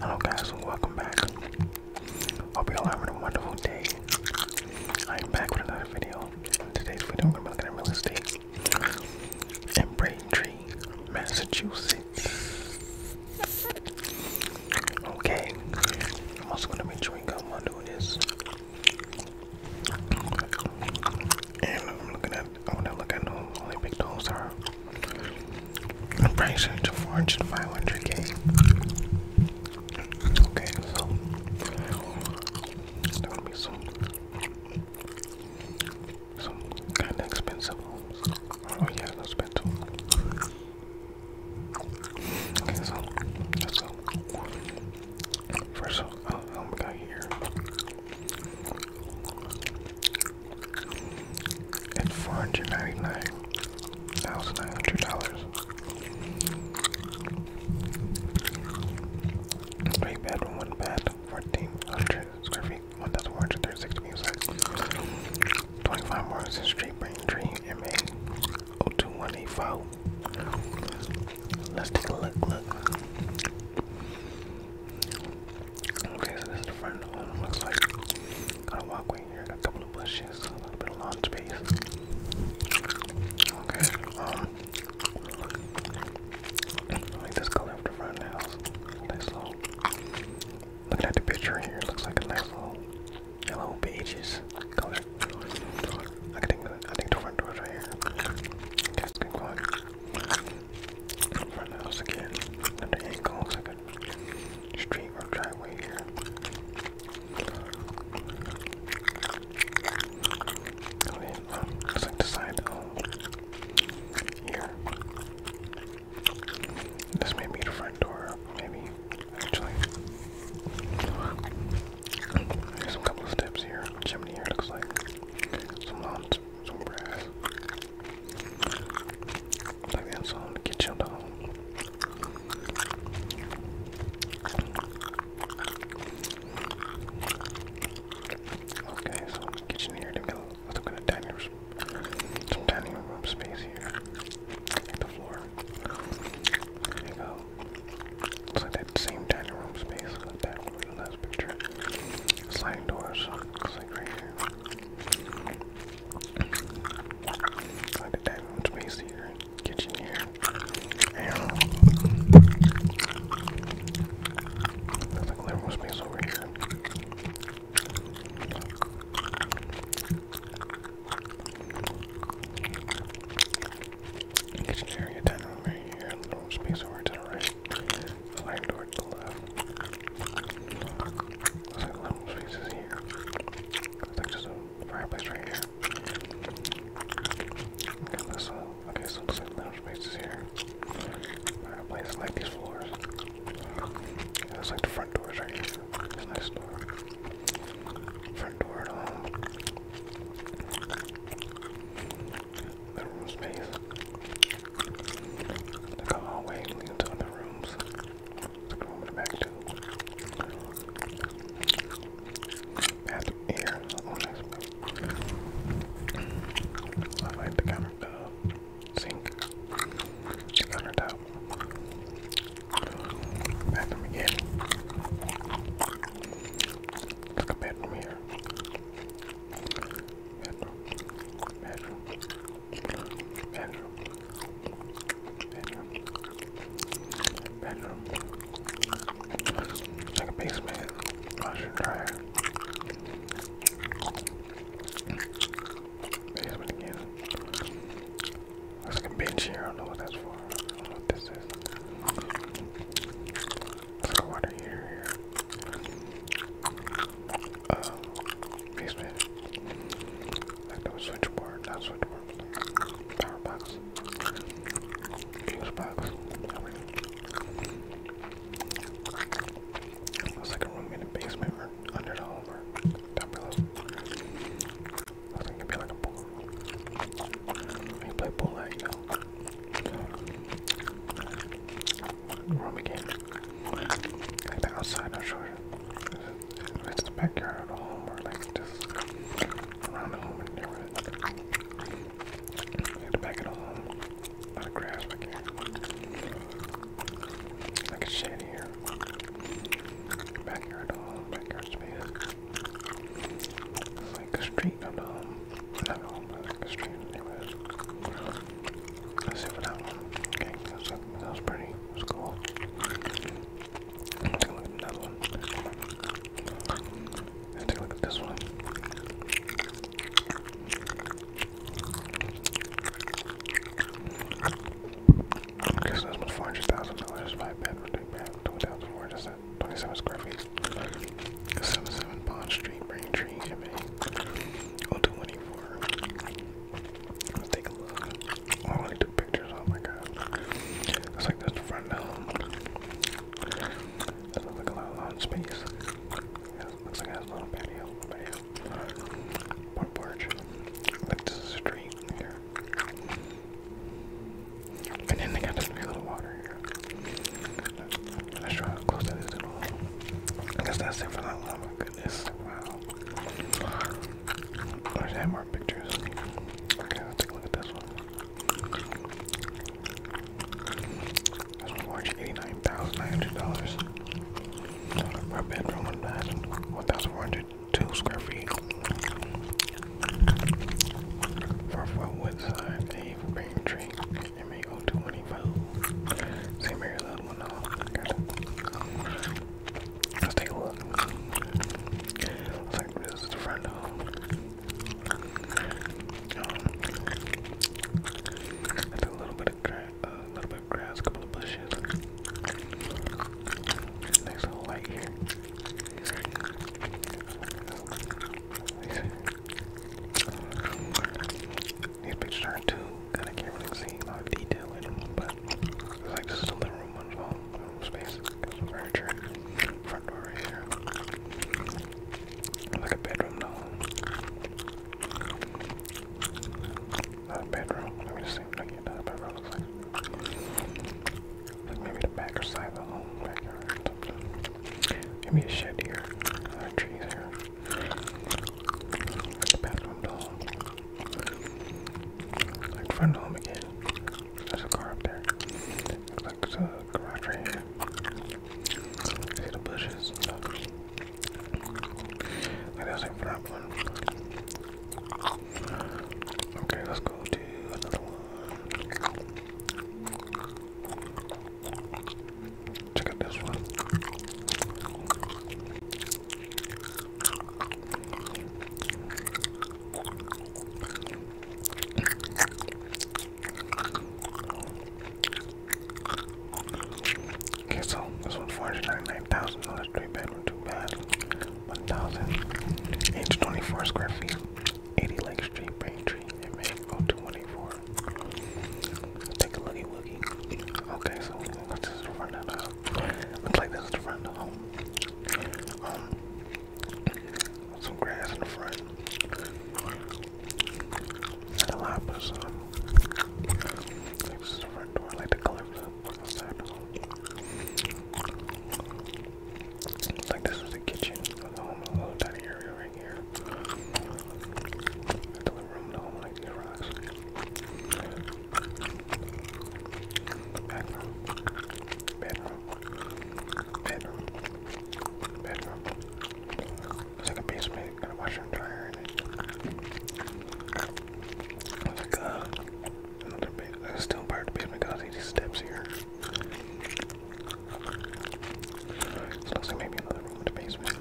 Hello guys welcome back. Hope you all having a wonderful day. I am back with another video. today's video I'm looking at real estate in Braintree, Massachusetts. Okay. I'm also gonna be chewing gum while doing this. And I'm looking at, I want to look at them. Only big those are. I'm pretty sure it's a 500k. Okay, so there's gonna be some, some kind of expensive Oh yeah, expensive. Okay, so First, of all, oh we oh got here. It's four hundred ninety nine thousand nine hundred dollars. Three bedroom, one bath, fourteen hundred square feet, one thousand four hundred thirty six square feet. Twenty five more Morrison Street, Braintree, MA. 02184. Let's take a look, look. Okay, so the front looks like got a walkway here, a couple of bushes, a little bit of lawn space. Okay, um I this color of the front house. Nice little looking at the picture here, looks like a nice little yellow pages color. I can I think front door right here. Cats can front house again. Another angle looks driveway here. Oh uh, yeah, looks like the side here. This may be the front door, maybe actually. There's a couple of steps here. Chimney here looks like some lawns, some grass. Like that, so get chilled out. Okay, so kitchen here. They've got a little bit of dining room, some dining room space here. the floor. There you go. It's that same dining room space got back from the last picture. Sliding doors. It's like right here. It's like the dining room space here. Kitchen here. And there's like living room space over here. Kitchen area, dining room right here, little space over to the right, the light door to the left. Looks like little spaces here. Looks like just a fireplace right here. Okay, let's, uh, okay, so looks like little spaces here. Fireplace, I like these floors. Yeah, looks like the front doors right here. This nice door. Front door at home. The room space. The hallway leads to other rooms. Let's back too. Bathroom air. Oh, I like the counter, uh, sink, countertop. Bathroom again. Look at bedroom here. Bedroom. Bedroom. Bedroom. Bedroom. Bedroom. Like a basement. Washer and dryer. Basement again. There's like a bench here. I don't know what that's for. I don't know what this is. There's like a water heater here. Uh, um, basement. Like no switchboard, not switchboard. Power box. Fuse box. I like a room in the basement under the home or below. I think it'd like a pool. play again. Like the outside, not sure. It's backyard of home or like just around the home and neighborhood. Like back of home. A lot of grass back here. Like a shed here. Backyard home, backyard space like a street, no, no, not home, like a street, anyways. Let's see for that one. Okay, that's, that was pretty, that was cool. Let's take a look at another one. Let's take a look at this one. I guess that's $400,000 if I bet, really bad. 20,000, 27 square feet. 77 Bond Street, Braintree, MA. 0224. take a look. Oh, I only took pictures, oh my god. Looks like that's the front now. Doesn't look like a lot of lawn space. Yeah, looks like has a little patio. Patio. Front porch. Like this street here. And then they got a little water here. Let's try to close that little I guess that's it for that one. Oh, my goodness. Wow. I should more pictures. Okay, let's take a look at this one. This one's large $89,900. My bedroom, 1400 two square feet. Four foot wood size, A for bearing MAO 225. Same area that one Let's take a look. Looks like this is the front home. Um, a little bit of grass, a little bit grass, couple of bushes. Nice little light here. These pictures are too good. I can't really see a lot of detail in them, but like this is the living room on home, space. furniture, front door here. Like a bedroom though. Not a bedroom. Let me just see what I get. bedroom like maybe the back side of the home, Maybe a shed here. Uh, trees here. the bathroom to home. Like front home again. There's a car up there. Looks like there's a garage right here. See the bushes and stuff. Like front one. Okay, let's go to another one. Check out this one. Okay, so this one's four hundred ninety-nine thousand. So that's bad, one too bad. 1000. Age 24 square feet. 80 Lake Street, Braintree, MA 0224. Take a looky woogie. Okay, so this is the front of the house. Looks like this is the front of Um, some grass in the front. Not a lot, but um, some. This is the front door, like the color it's like this is the kitchen the home, a little tiny area right here. That's the room the home, like these rocks. Bathroom, bedroom, bedroom, bedroom. It's like a basement, got a washer and dryer in it. like a Another big, a uh, stone part of basement got 80 steps here. So looks maybe another room in the basement.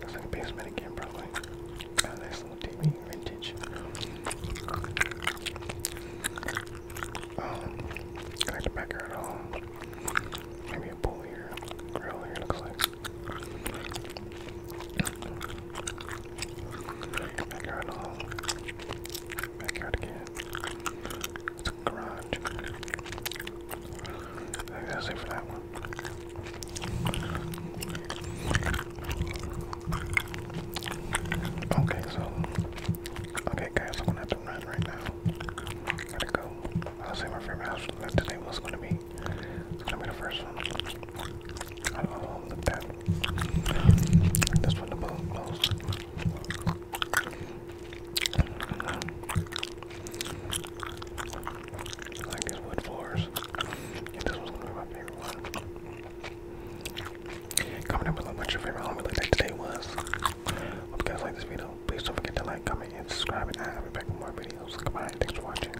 Looks like a basement again, probably. a nice little TV, vintage. Um, like the backyard Maybe a pool here, grill here, looks like. Back all. Back again. garage. that's it for that one. Okay, so okay guys, I'm gonna have to run right now. Gotta go. I'll say my favorite house today was gonna be. It's gonna be the first one. I don't like This one above most. like these wood floors. this one's gonna my favorite one. Comment below what your favorite home like that today was. Hope you guys like this video. Please don't forget to like, comment, and subscribe, and I'll be back with more videos. Goodbye, thanks for watching.